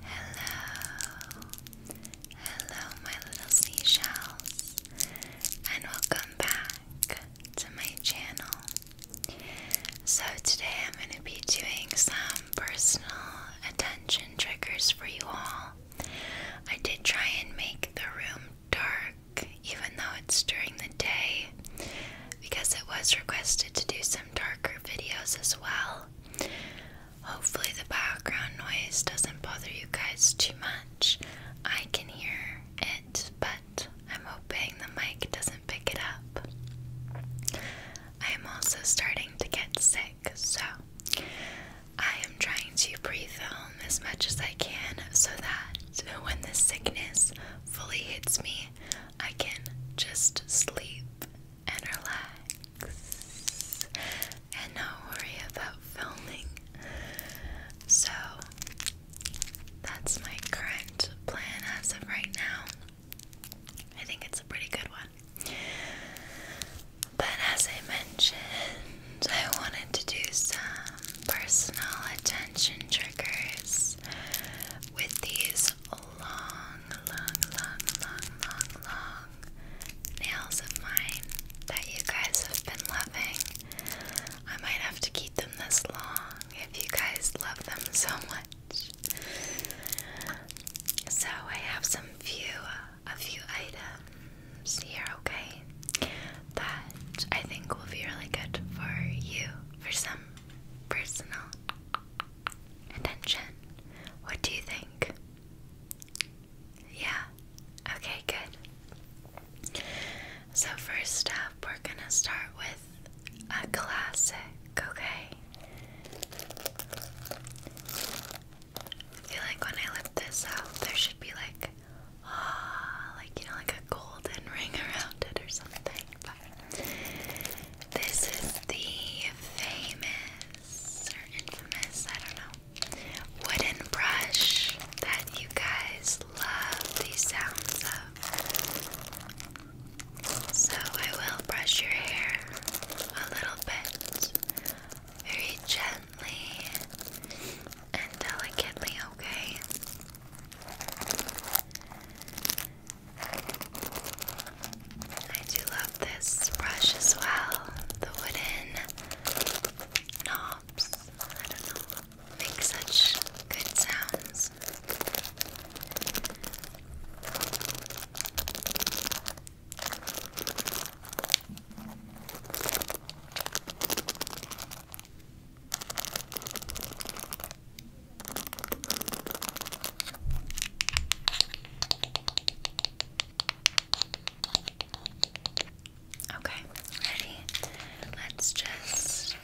hello, hello, my little seashells, and welcome back to my channel. So, today I'm going to be doing some personal attention triggers for you all. I did try and make the room dark, even though it's during the day, because it was requested to do some darker videos as well. Hopefully, the background noise doesn't bother you guys too much. I can hear it, but I'm hoping the mic doesn't pick it up. I am also starting to get sick, so I am trying to pre film as much as I can so that when the sickness fully hits me, I can just sleep and relax and not worry about filming. So that's my current plan as of right now. I think it's a pretty good one. But as I mentioned, I wanted to do some personal attention triggers with these long, long, long, long, long nails of mine that you guys have been loving. I might have to keep them this long if you guys love them so much. So I have some few, a few items here, okay, that I think will be really good for you for some personal attention. What do you think? Yeah. Okay, good. So, first up, we're gonna start with a classic, okay? I feel like when I lift this out, there should be like, ah, like you know, like a golden ring around it or something, this is the famous or infamous, I don't know, wooden brush that you guys love the sounds of. So I will brush your hair a little bit, very gently and delicately, okay? I do love this brush as well. The wooden knobs, make such good sounds. Okay, ready? Let's just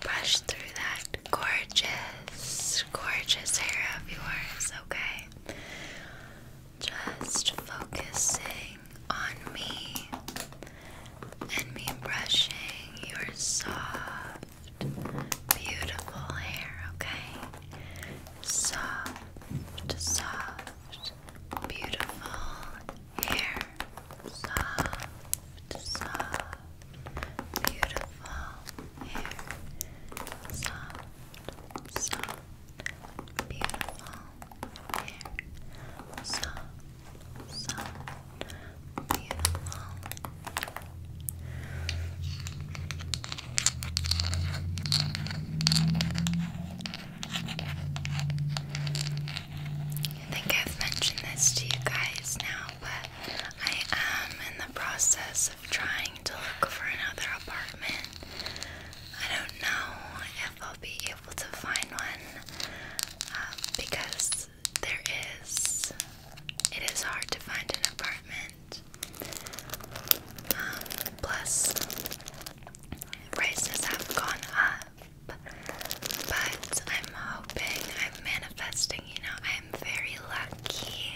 brush through that gorgeous, gorgeous hair of yours, okay? Just focusing on me and me brushing your soft, beautiful hair, okay? Soft, soft, beautiful hair. Soft, soft, beautiful hair. Soft, soft, beautiful hair. Soft. I think I've mentioned this to you guys now, but I am in the process of trying to look for another apartment. I don't know if I'll be able to find one uh, because there is. It is hard to find an apartment. Um, plus, prices have gone up. But I'm hoping, I'm manifesting, you know, I am very lucky.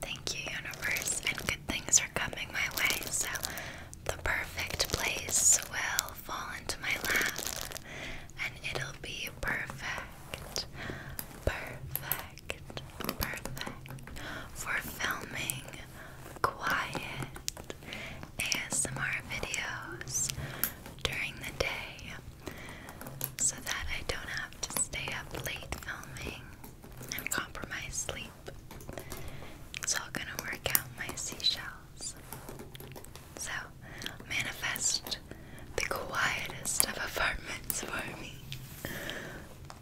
Thank you, universe, and good things are coming my way. So, the perfect place will fall into my lap and it'll be perfect, perfect, perfect for filming quiet ASMR videos during the day so that I don't have to stay up late filming and compromise sleep. It's all gonna work out my seashell else. So, manifest the quietest of apartments for me,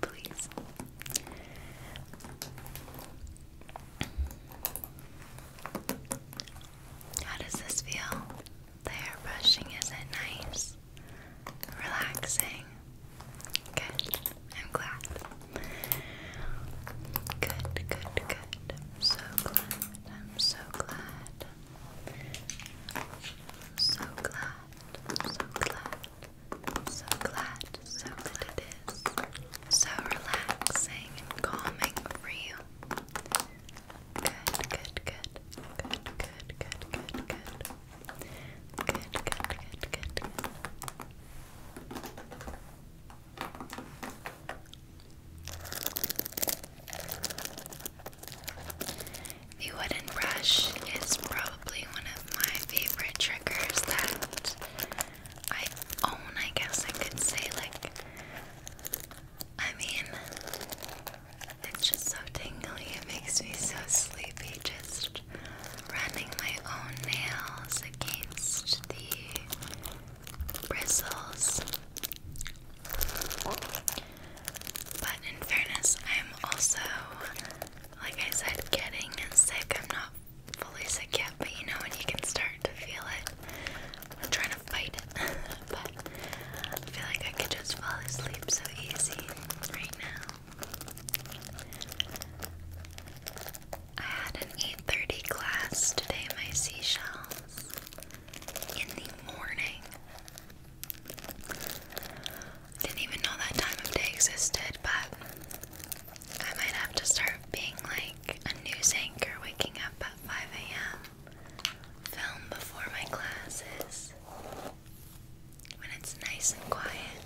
please. How does this feel? hair brushing, is it nice? Relaxing? Good. I'm glad. Good, good, good. I'm so glad. And I'm so glad. I'm so glad. I'm so glad. I'm so glad. So that it is so relaxing and calming for you. Good, good, good. Good, good, good, good, good. Good, good, good, good, good. The wooden brush is probably one of my favorite triggers that I own, I guess I could say. Like, I mean, it's just so tingly, it makes me so sleepy just running my own nails against the bristles. But in fairness, I'm also, like I said, getting sick. I'm not fully sick yet, but you know when you can start to feel it. I'm trying to fight it, but I feel like I could just fall asleep so easy right now. I had an 8:30 class today, my seashells. In the morning. Didn't even know that time of day existed, but I might have to start being like a news anchor waking up at 5 a.m. Film before my classes. When it's nice and quiet.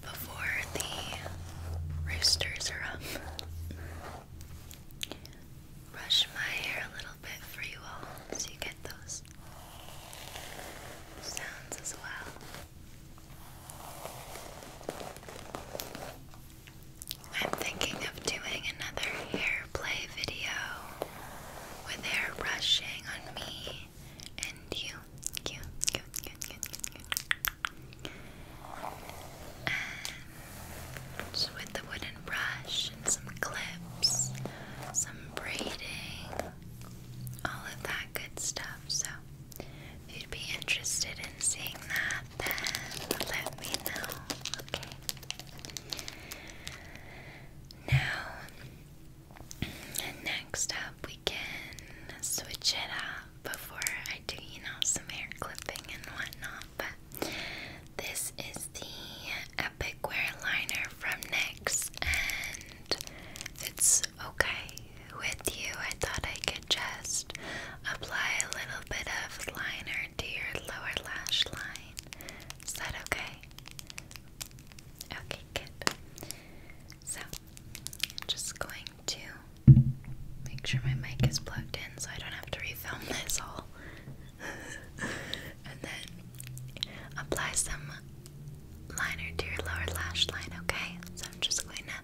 Before the roosters are up brush my hair a little bit for you all so you get those sounds as well. I'm thinking of doing another hair play video with hair brushing on me and you. You, you, you, you, you, and with the wooden brush and some clips, some braiding, all of that good stuff. So, if you'd be interested in seeing that, then let me know. Okay. Now, next up, we can switch it up before I do, you know, some hair clipping and whatnot. But this is the Epic Wear Liner from NYX, and it's okay with you. I thought I could just apply a little bit of liner to your lower lash line. Is that okay? Okay, good. So, just going to make sure my mic is plugged in so I don't have to refilm this all. and then apply some liner to your lower lash line, okay? So I'm just going to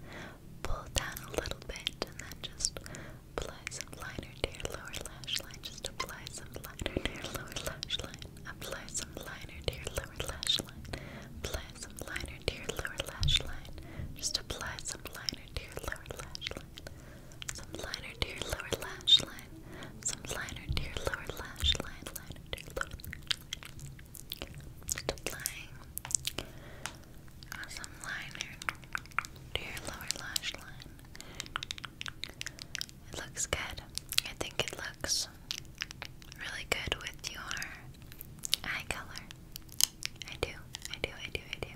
pull down a little bit and then just apply some liner to your lower lash line. Just apply some liner to your lower lash line. Apply some liner to your lower lash line. Apply some liner to your lower lash line. Just apply some liner to your lower lash line. Some liner to your lower lash line. Some liner to your lower lash line. some liner to your lower lash line. It looks good. I think it looks really good with your eye color. I do, I do, I do, I do.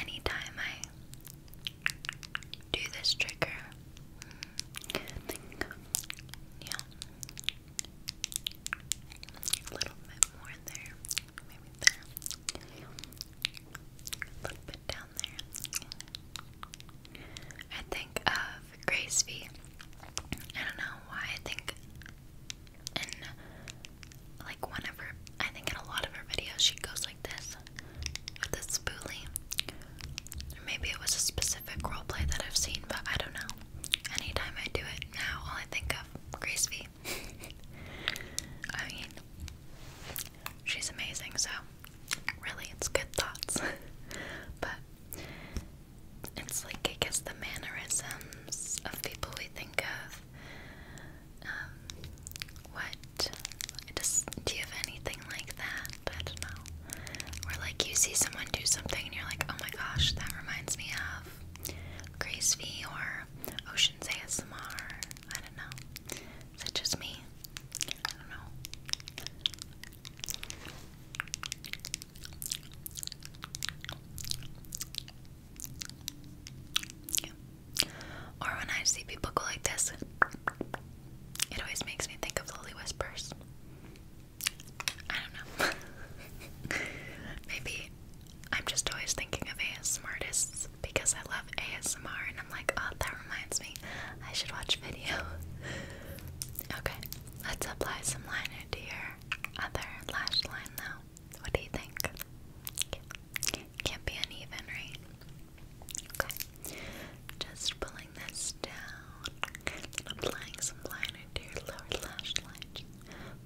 Anytime I do this trigger, yeah, a little bit more there, maybe there, a little bit down there. I think of Grace V. I don't know why I think in like one I think in a lot of her videos she goes like this with this spoolie. maybe it was a specific roleplay that I've seen, but I don't know. Anytime I do it now all I think of Grace V. I mean she's amazing so really it's good thoughts. but it's like I guess the mannerisms of people we think of. Um, what? Does do you have anything like that? I don't know. Or like you see someone do something and you're like, oh my gosh, that reminds me of Grace V or Ocean's ASMR. I don't know. Such as me? I don't know. Or when I see people go like this, it always makes me think of Lily Whispers. I don't know. Maybe I'm just always thinking of ASMR artists because I love ASMR and I'm like, oh, that reminds me, I should watch video. Okay, let's apply some liner to your other lash line now. What do you think? Can't, be uneven, right? Okay, just pulling this down, applying some liner to your lower lash line.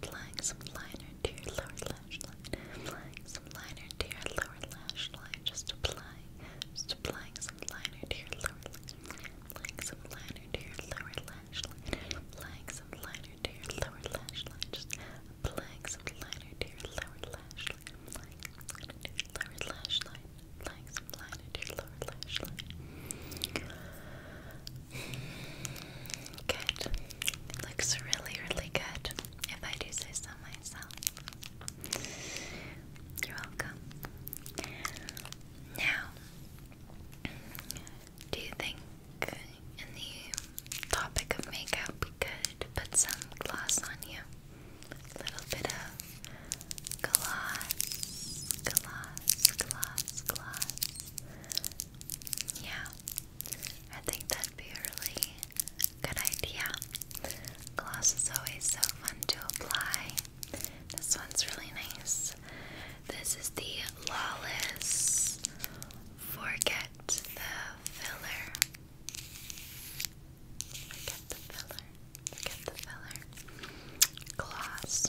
Applying some liner to your lower lash line. Applying some liner to your lower lash line. Just applying, just applying some liner to your lower lash Applying some liner to your lower lash line. Applying some liner to your lower lash line. Just applying some liner to your lower lash line. Applying some liner to your lower lash line. Applying some liner to your lower lash line. Good. Looks really, really good. If I do say so myself. You're welcome. Now, do you think in the topic of makeup we could put some gloss on you? A little bit of gloss, gloss, gloss, gloss. Yeah, I think that'd be a really good idea. Gloss is always so fun to apply. This one's really nice. This is the Lawless Forget the Filler. Forget the filler. Forget the filler. Gloss.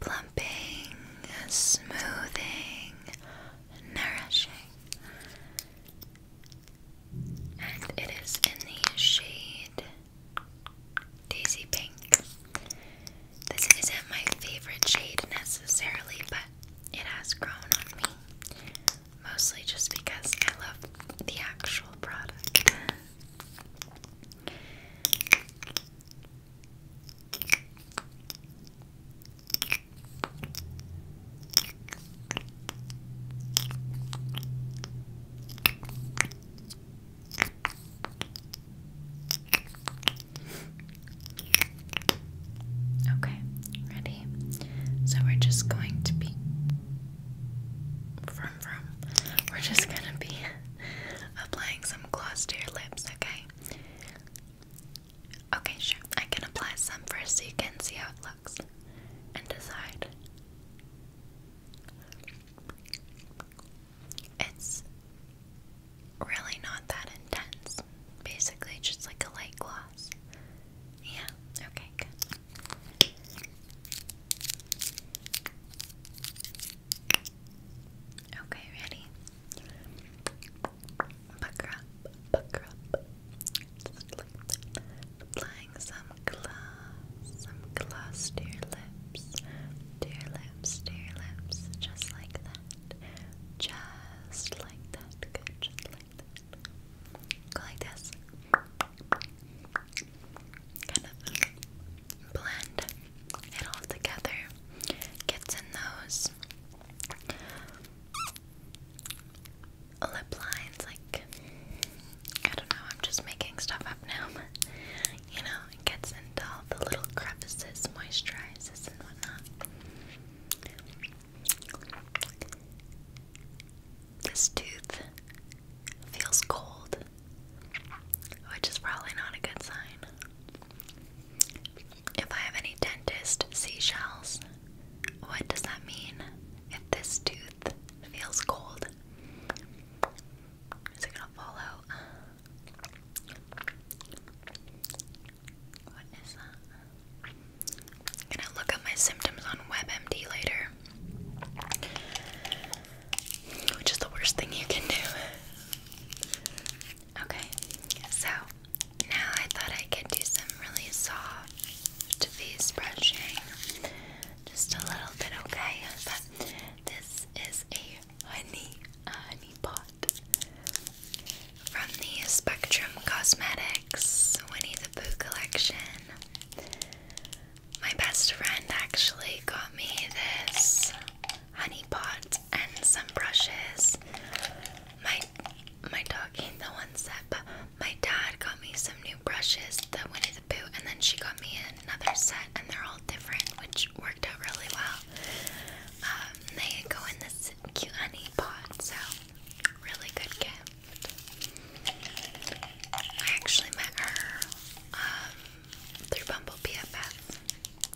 Plumping, smoothing, nourishing. And it is in the shade Daisy Pink. This isn't my favorite shade necessarily, but it has grown on me. Mostly just because I love the actual product. Okay, ready? So we're just going to be from from. We're just gonna be applying some gloss to your lips, okay? Okay, sure. I can apply some first so you can see how it looks and decide. It's really not that intense. Basically, just like a light gloss. Yeah, okay, Okay, ready? Pucker up, pucker up applying some gloss, some gloss to your lips, to your lips, to your lips, just like that, just like that, just like that. Go like this, kind of blend it all together, gets in those lip lines, like I don't know, I'm just making stuff up now, you know, it gets into all the little crevices, moisturizes and whatnot. This tooth feels cold, which is probably not a good sign. If I have any dentist seashells, what does that mean? if this tooth feels cold, is it gonna fall out? What is that? gonna look up my symptoms on WebMD later. Which is the worst thing you can do. Okay, so now I thought I could do some really soft face brushing just a little bit, okay? But this is a honey, honey pot from the Spectrum Cosmetics Winnie the Pooh collection. My best friend actually got me this honey pot and some brushes. My my dog ain't the ones that up. My dad got me some new brushes, the Winnie the Pooh, and then she got me another set, and they're all different, which worked out really well. Um, they go in this cute honey pot, so really good gift. I actually met her um, through Bumble BFF,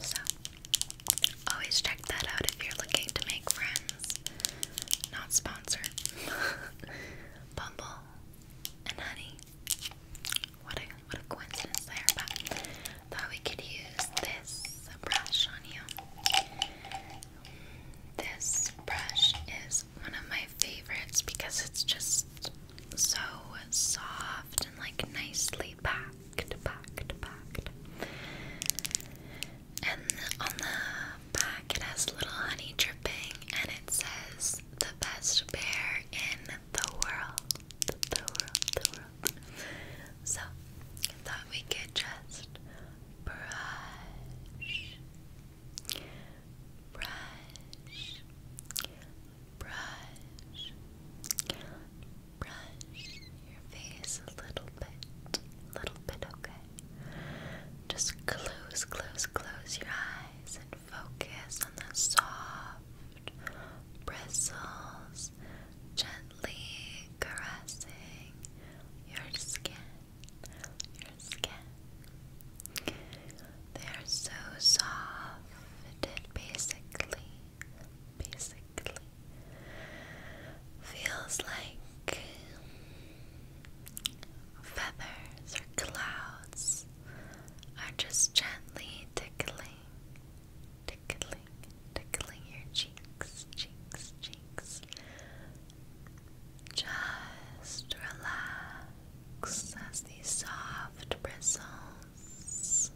so always check that out if you're looking to make friends. Not sponsored. Bumble, and Honey. What a what a coincidence there, thought we could use this brush on you. This brush is one of my favorites because it's just so soft and like nicely packed, packed, packed. And on the back, it has little honey dripping, and it says, "The best bear in the world." The world, the world. So I thought we could just brush, brush, brush, brush your face a little bit, little bit, okay. Just close, close, close your eyes and focus on the soft bristles gently caressing your skin. Your skin. They are so soft, it basically, basically feels like feathers or clouds are just gently tickling, tickling, tickling your cheeks, cheeks, cheeks. Just relax as these soft bristles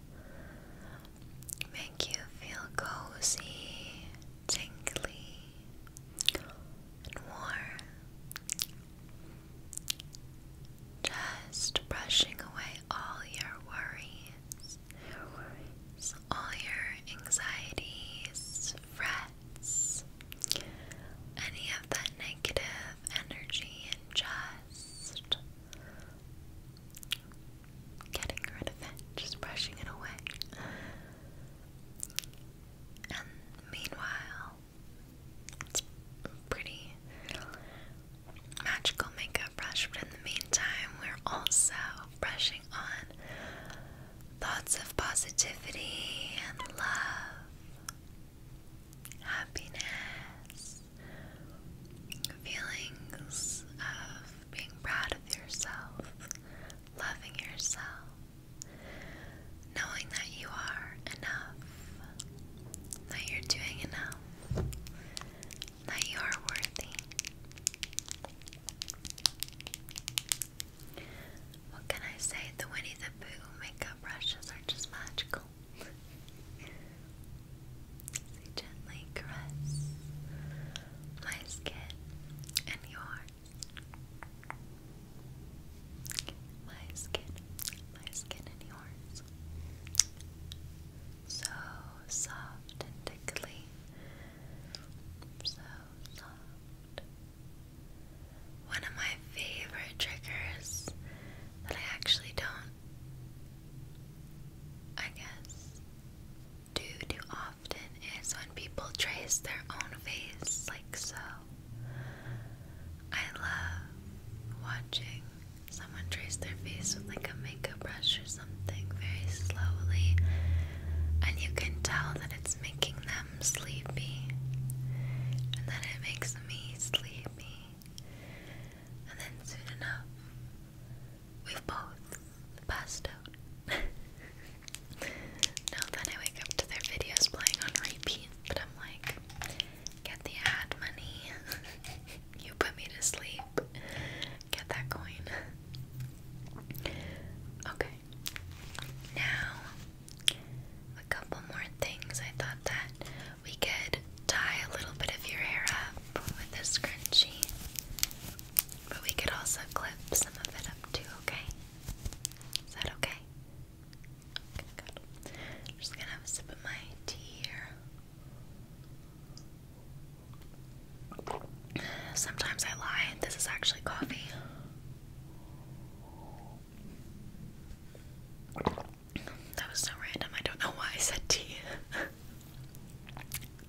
make you feel cozy, tingly, warm. Just brushing away all your worries, worries. all your anxieties, frets, any of that negative energy, and just getting rid of it, just brushing it away. And meanwhile, it's pretty magical makeup brush, but in the meantime, we're also brushing on thoughts of positivity and love, happiness, feelings of being proud of yourself, loving yourself. Knowing that you are enough, that you're doing enough, that you are worthy. What can I say? The Winnie the Pooh makeup brushes are just magical. they gently caress my skin and yours. My skin, my skin and yours. So soft and tickly. So soft. One of my favorite triggers that I actually don't, I guess, do too often is when people trace their own face like so. I love watching someone trace their face with like a makeup brush or something very slowly, and you can tell that it's making them sleepy, and then it makes me sleepy, and then soon enough, we've both passed out. No, then I wake up to their videos playing on repeat, but I'm like, get the ad money. you put me to sleep. Get that coin. Okay. Now, a couple more things. I thought that we could tie a little bit of your hair up with a scrunchie. But we could also clip some of it up too, okay? Is that okay? Okay, good. just gonna sip my tea here. Sometimes I lie, this is actually coffee. That was so random, I don't know why I said tea.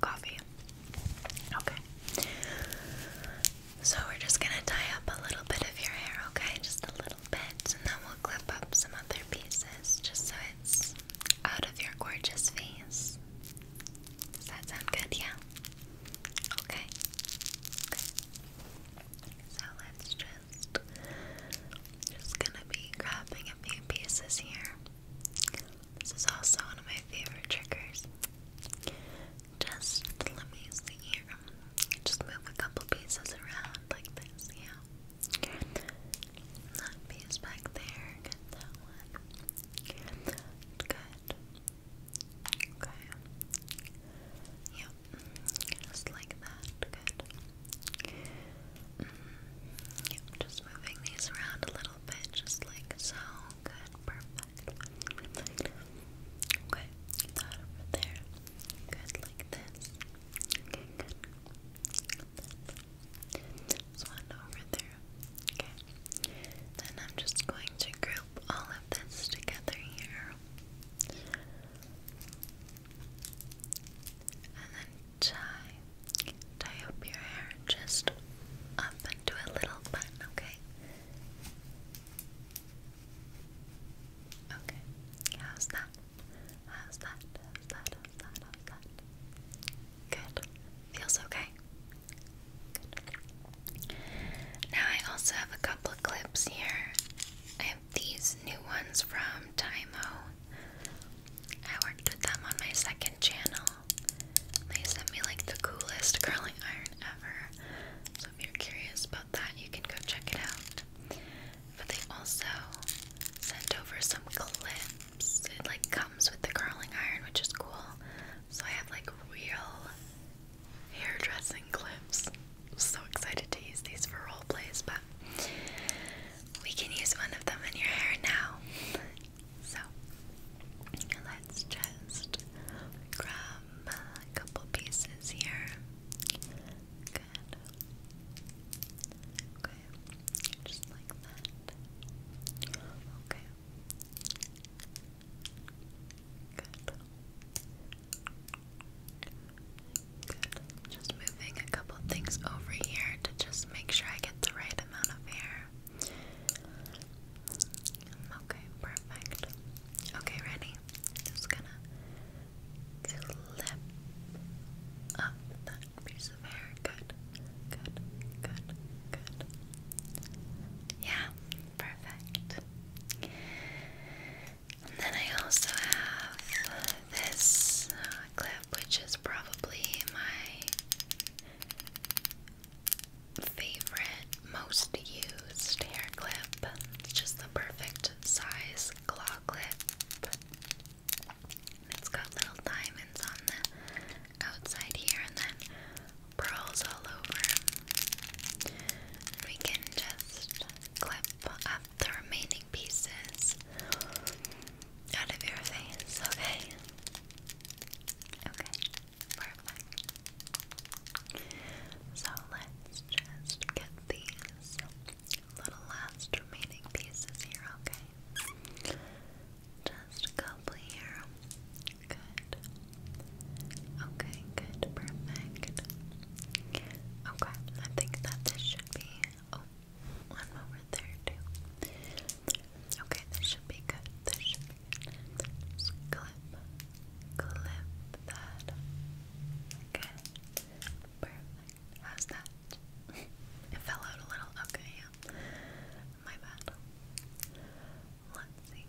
Coffee. Okay. So we're just gonna tie up a little bit of your hair, okay? Just a little bit, and then we'll clip up some other pieces just so it's out of your gorgeous face. Does that sound good? Yeah? Okay. So let's just just gonna be grabbing a few pieces here. This is also one of my favorite triggers. Just let me see here. Just move a couple pieces around like this, yeah. piece back there, that one. Good. Okay. Yep. Just like that. Good. Mm-hmm. yep. Just moving these around a little bit, just like so good, perfect, Okay, that over there. Good, like This one over there. Okay. Then I'm just going to group all of this together here. And then tie tie up your hair just up into a little bun, okay? Okay, how's that? How's that? How's that? How's that? How's that? Good. Feels okay. Now I also have a couple of clips here. I have these new ones from Timo. I worked with them on my second channel. They sent me like the coolest curling iron ever. So if you're curious about that, you can go check it out. But they also sent over some clips. It like comes with the curling iron, which is cool. So I have like real hairdressing clips. I'm so excited to use these for role plays, but we can use one of them in your hair now. So let's just grab a couple pieces here. Okay, just like that. Okay. Good. Good. Just moving a couple things over here to just make sure I get the right amount of hair. Okay, perfect. Okay, ready? Just gonna clip up that piece of hair. Good, good, good, good. Yeah, perfect. And then I also have this uh, clip, which is probably my favorite most used hair clip. It's just the perfect size claw clip. it's got little diamonds on the outside here and then pearls all over. we can just clip up the remaining pieces out of your face, okay? Okay, perfect. So let's just get these little last remaining pieces here, okay? Just a couple here. Good. Okay, good, perfect. Okay, I think that this should be. Oh, one over there too. Okay, this should be good. This should clip, clip that. Okay, perfect. How's that? it fell out a little. Okay, yeah. My bad. Let's see.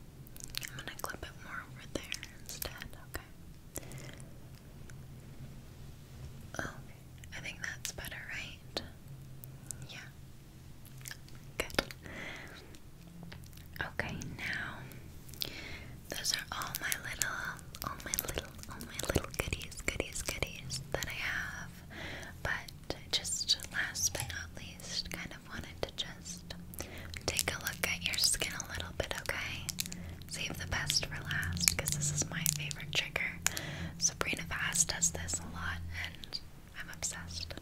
I'm gonna clip it more over there instead. Okay. Oh. I think that's better, right? Yeah. Good. Okay, now those are all my little, all my little, all my little goodies, goodies, goodies that I have. But just last but not least, kind of wanted to just take a look at your skin a little bit, okay? Save the best for last because this is my favorite trigger hair. Sabrina Fast does this a lot and I'm obsessed.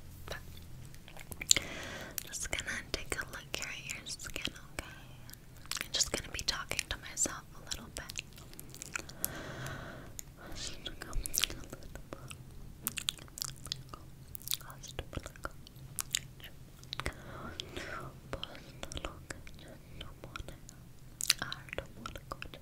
just gonna take a look here at your skin, okay? just gonna be talking to myself a little bit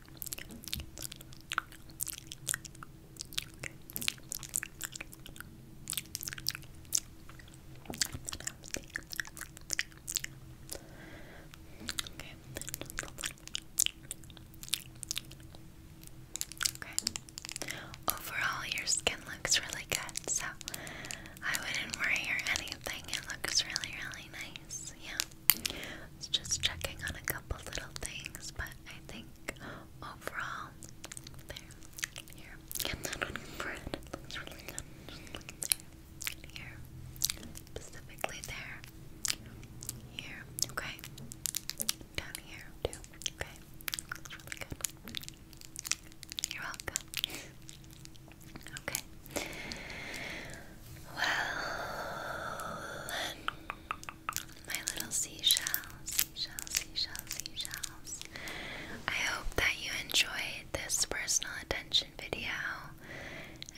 Okay. Overall, your skin looks really good, so I wouldn't worry or anything. It looks really, really nice. Yeah was just checking on a couple little things, but I think overall, there, here, here, specifically there, here, okay, down here too, okay. Looks really good. You're welcome. Okay. Well, my little seashells, seashells, seashells, seashells. I hope that you enjoyed this personal attention video.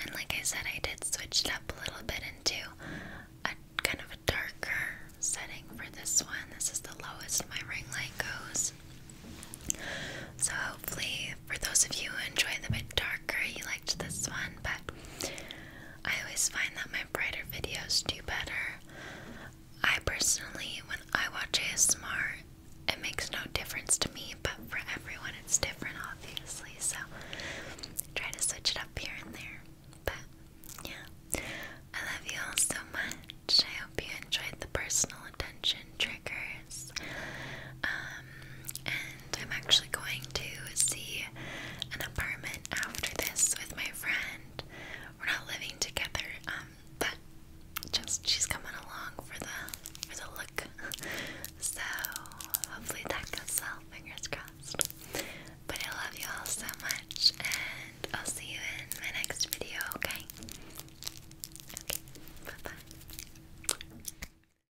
And like I said, I did switch it up a little bit into a kind of a darker setting for this one. This is the lowest my ring light goes. So hopefully, for those of you who enjoy the bit dark darker, you liked this one, but I always find that my brighter videos do better. I personally, when I watch ASMR, it makes no difference to me, but for everyone it's different, obviously, so try to switch it up here and there. But yeah, I love you all so much. I hope you enjoyed the personal attention triggers. Um, and I'm actually going to see an apartment after this with my friend. We're not living together, um, but just she's coming along for the for the look. So hopefully that goes well. Fingers crossed. But I love you all so much, and I'll see you in my next video. Okay. Okay. Bye bye.